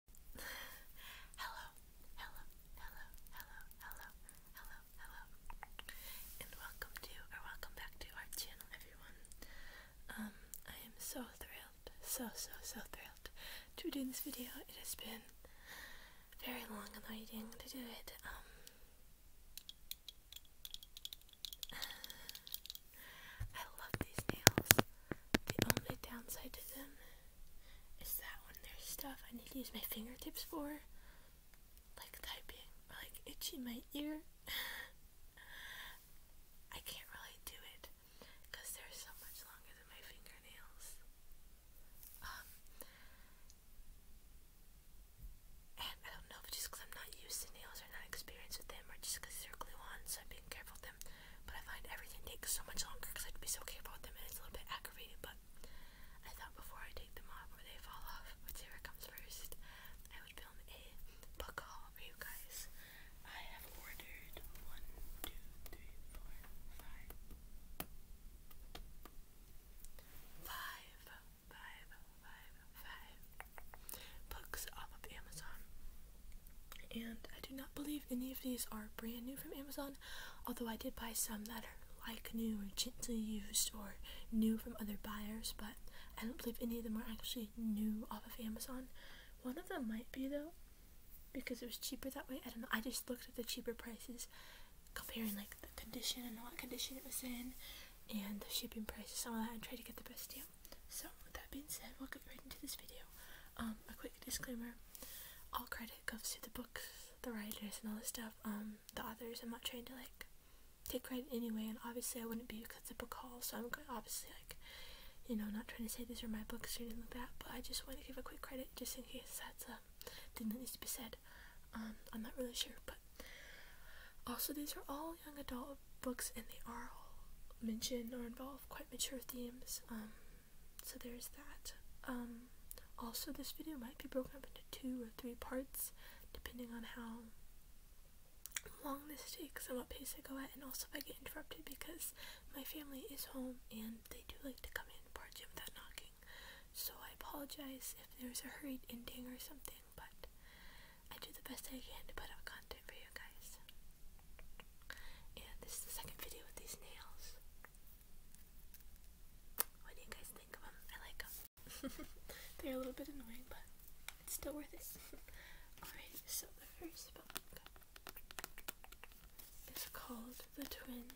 hello, hello, hello, hello, hello, hello, hello, and welcome to or welcome back to our channel, everyone. Um, I am so thrilled, so so so thrilled to do this video. It has been very long in waiting to do it. Um, I love these nails. The only downside to them is that when there's stuff I need to use my fingertips for, like typing or like itching my ear, I can't really do it because they're so much longer than my fingernails. Um, and I don't know if just because I'm not used to nails or not experienced with them or just because they're glue on, so I'm being careful with them but I find everything takes so much longer because I have to be so careful with them and it's a little bit aggravating. But I thought before I take them off or they fall off, whichever comes first, I would film a book haul for you guys. I have ordered one, two, three, four, five, five, five, five, five books off Amazon. And I do not believe any of these are brand new from Amazon, although I did buy some that are like new or gently used or new from other buyers, but I don't believe any of them are actually new off of Amazon. One of them might be though, because it was cheaper that way. I don't know. I just looked at the cheaper prices, comparing like the condition and what condition it was in, and the shipping prices, all that, and tried to get the best deal. So, with that being said, we'll get right into this video. Um, a quick disclaimer. All credit goes to the books, the writers, and all this stuff. Um, the authors, I'm not trying to, like, take credit anyway, and obviously I wouldn't be because it's a book haul, so I'm obviously, like, you know, not trying to say these are my books or anything like that, but I just want to give a quick credit just in case that's a thing that needs to be said. Um, I'm not really sure, but also these are all young adult books, and they are all mention or involve quite mature themes. Um, so there's that. Um, also, this video might be broken up into two or three parts, depending on how long this takes and what pace I go at, and also if I get interrupted because my family is home and they do like to come in and part in without knocking. So I apologize if there's a hurried ending or something, but I do the best I can to put up content for you guys. And this is the second video with these nails. What do you guys think of them? I like them. They're a little bit annoying, but it's still worth it. Alright, so the first book is called The Twin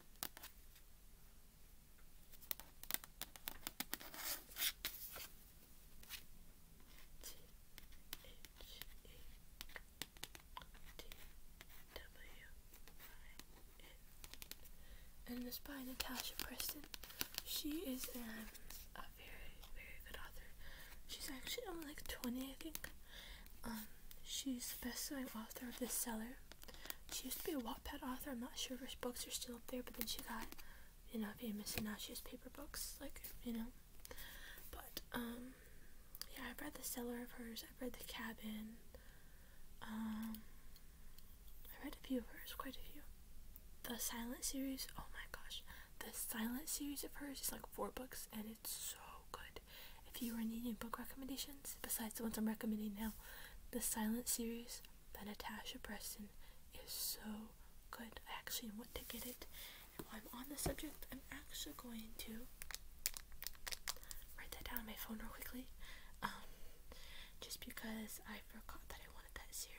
and this by Natasha Preston. She is um, a very, very good author. She's actually only like 20, I think. Um, she's the best-selling author of The Seller. She used to be a Wattpad author. I'm not sure if her books are still up there, but then she got you know, being you're missing out, paper books, like, you know. But, um, yeah, I've read The Cellar of hers, I've read The Cabin, um, I read a few of hers, quite a few. The Silent series, oh my gosh, the Silent series of hers is like four books, and it's so good. If you are needing book recommendations, besides the ones I'm recommending now, the Silent series by Natasha Preston is so good. I actually want to get it. And while I'm on the subject, I'm actually going to write that down on my phone real quickly. Um, just because I forgot that I wanted that series.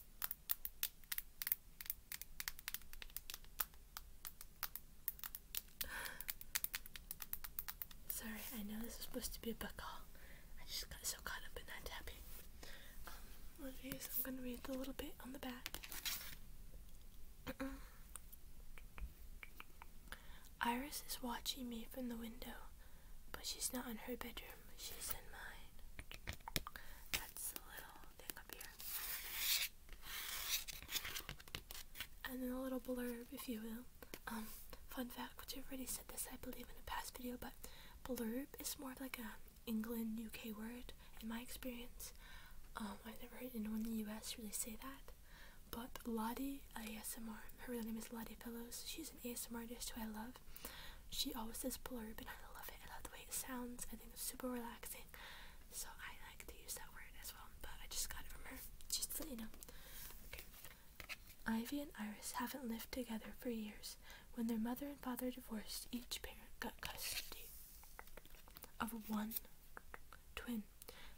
Sorry, I know this is supposed to be a book haul. I just got so caught up in that tapping. Um, I'm gonna read the little bit on the back. Iris is watching me from the window. But she's not in her bedroom, she's in mine. That's the little thing up here. And then a little blurb, if you will. Um, fun fact, which I've already said this, I believe, in a past video, but blurb is more like an England, UK word, in my experience. Um, I've never heard anyone in the US really say that. But Lottie ASMR, her real name is Lottie Fellows. She's an ASMR artist who I love. She always says "blur," but I love it. I love the way it sounds. I think it's super relaxing. So I like to use that word as well, but I just got it from her. Just so you know. Ivy and Iris haven't lived together for years. When their mother and father divorced, each parent got custody of one twin.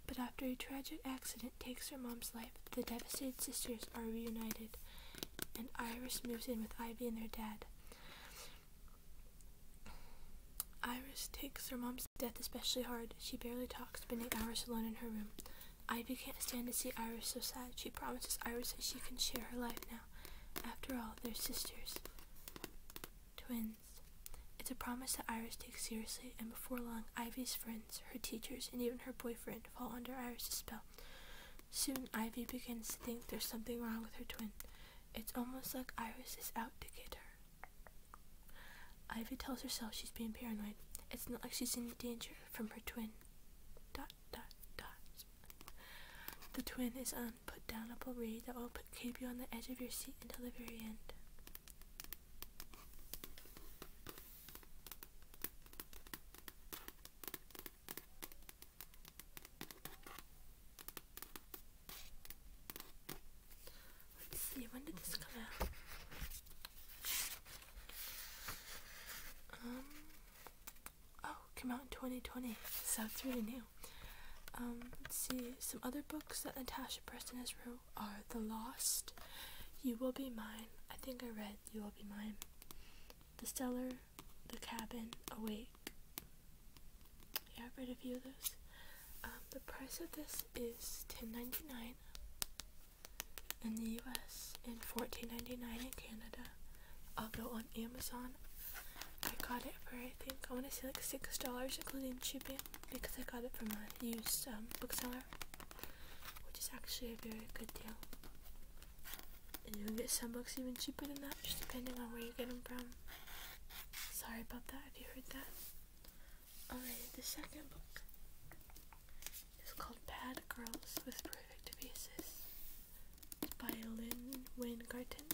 But after a tragic accident, takes her mom's life, the devastated sisters are reunited, and Iris moves in with Ivy and their dad. Iris takes her mom's death especially hard. She barely talks, spending hours alone in her room. Ivy can't stand to see Iris so sad. She promises Iris that she can share her life now. After all, they're sisters. Twins. It's a promise that Iris takes seriously, and before long, Ivy's friends, her teachers, and even her boyfriend fall under Iris's spell. Soon, Ivy begins to think there's something wrong with her twin. It's almost like Iris is out to get her. Ivy tells herself she's being paranoid. It's not like she's in danger from her twin. Dot, dot, dot. The twin is on put down a parade that will keep you on the edge of your seat until the very end. Let's see, when did this come out? Um, oh, came out in 2020, so it's really new. Um, let's see, some other books that Natasha Preston has re are the lost. You will be mine. I think I read You Will Be Mine. The Cellar, The Cabin, Awake. Yeah, I've read a few of those. Um, the price of this is ten ninety nine in the US and fourteen ninety nine in Canada. I'll go on Amazon. I got it for I think I wanna say like six dollars including shipping because I got it from a used um, bookseller which is actually a very good deal. And you can get some books even cheaper than that, just depending on where you get them from. Sorry about that Have you heard that. Alright, the second book is called Bad Girls with Perfect Faces. by Lynn Wengarten.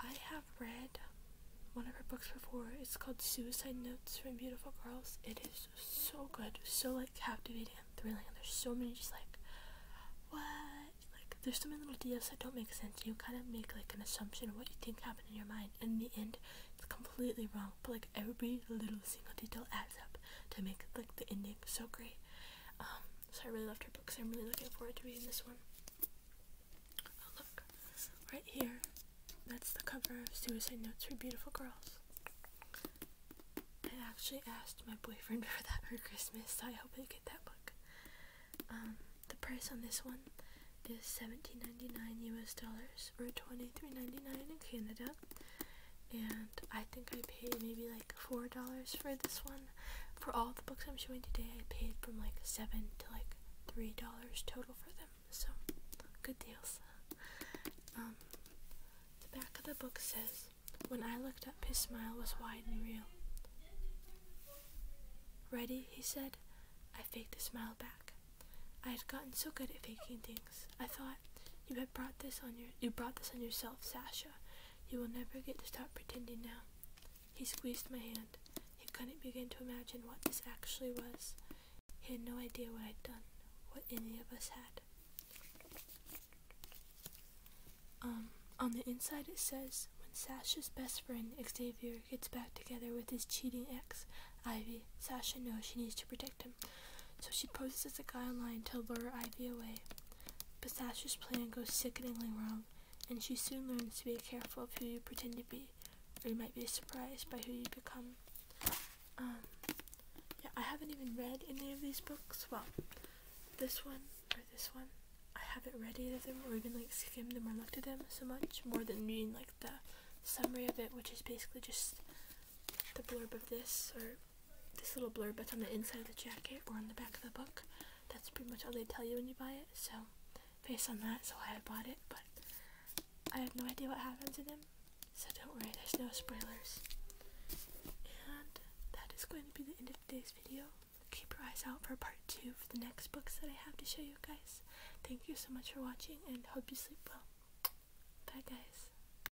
I have read one of her books before. It's called Suicide Notes from Beautiful Girls. It is so good, so like captivating and thrilling. And there's so many just like, what? Like, there's so many little details that don't make sense. You kind of make like an assumption of what you think happened in your mind. And in the end, it's completely wrong. But like, every little single detail adds up to make like the ending so great. Um, so I really loved her books. I'm really looking forward to reading this one. Oh, look, right here. That's the cover of Suicide Notes for Beautiful Girls. I actually asked my boyfriend for that for Christmas, so I hope I get that book. Um, the price on this one is $17.99 US dollars or $23.99 in Canada and I think I paid maybe like four dollars for this one. For all the books I'm showing today, I paid from like seven to like three dollars total for them, so good deals. Um, the back of the book says, When I looked up, his smile was wide and real. Ready, he said. I faked a smile back. I had gotten so good at faking things. I thought, you had brought this on your you brought this on yourself, Sasha. You will never get to stop pretending now. He squeezed my hand. He couldn't begin to imagine what this actually was. He had no idea what I'd done, what any of us had. Um, on the inside it says, when Sasha's best friend, Xavier, gets back together with his cheating ex, Ivy, Sasha knows she needs to protect him. So she poses as a guy online to lure Ivy away. But Sasha's plan goes sickeningly wrong, and she soon learns to be careful of who you pretend to be, or you might be surprised by who you become. Um, yeah, I haven't even read any of these books. Well, this one or this one, I haven't read either of them, or even like skimmed them or looked at them so much more than reading like the summary of it, which is basically just the blurb of this or this little blurb that's on the inside of the jacket or on the back of the book. That's pretty much all they tell you when you buy it. So, based on that, so I bought it, but I have no idea what happened to them. So don't worry, there's no spoilers. And that is going to be the end of today's video. Keep your eyes out for part two for the next books that I have to show you guys. Thank you so much for watching and hope you sleep well. Bye guys.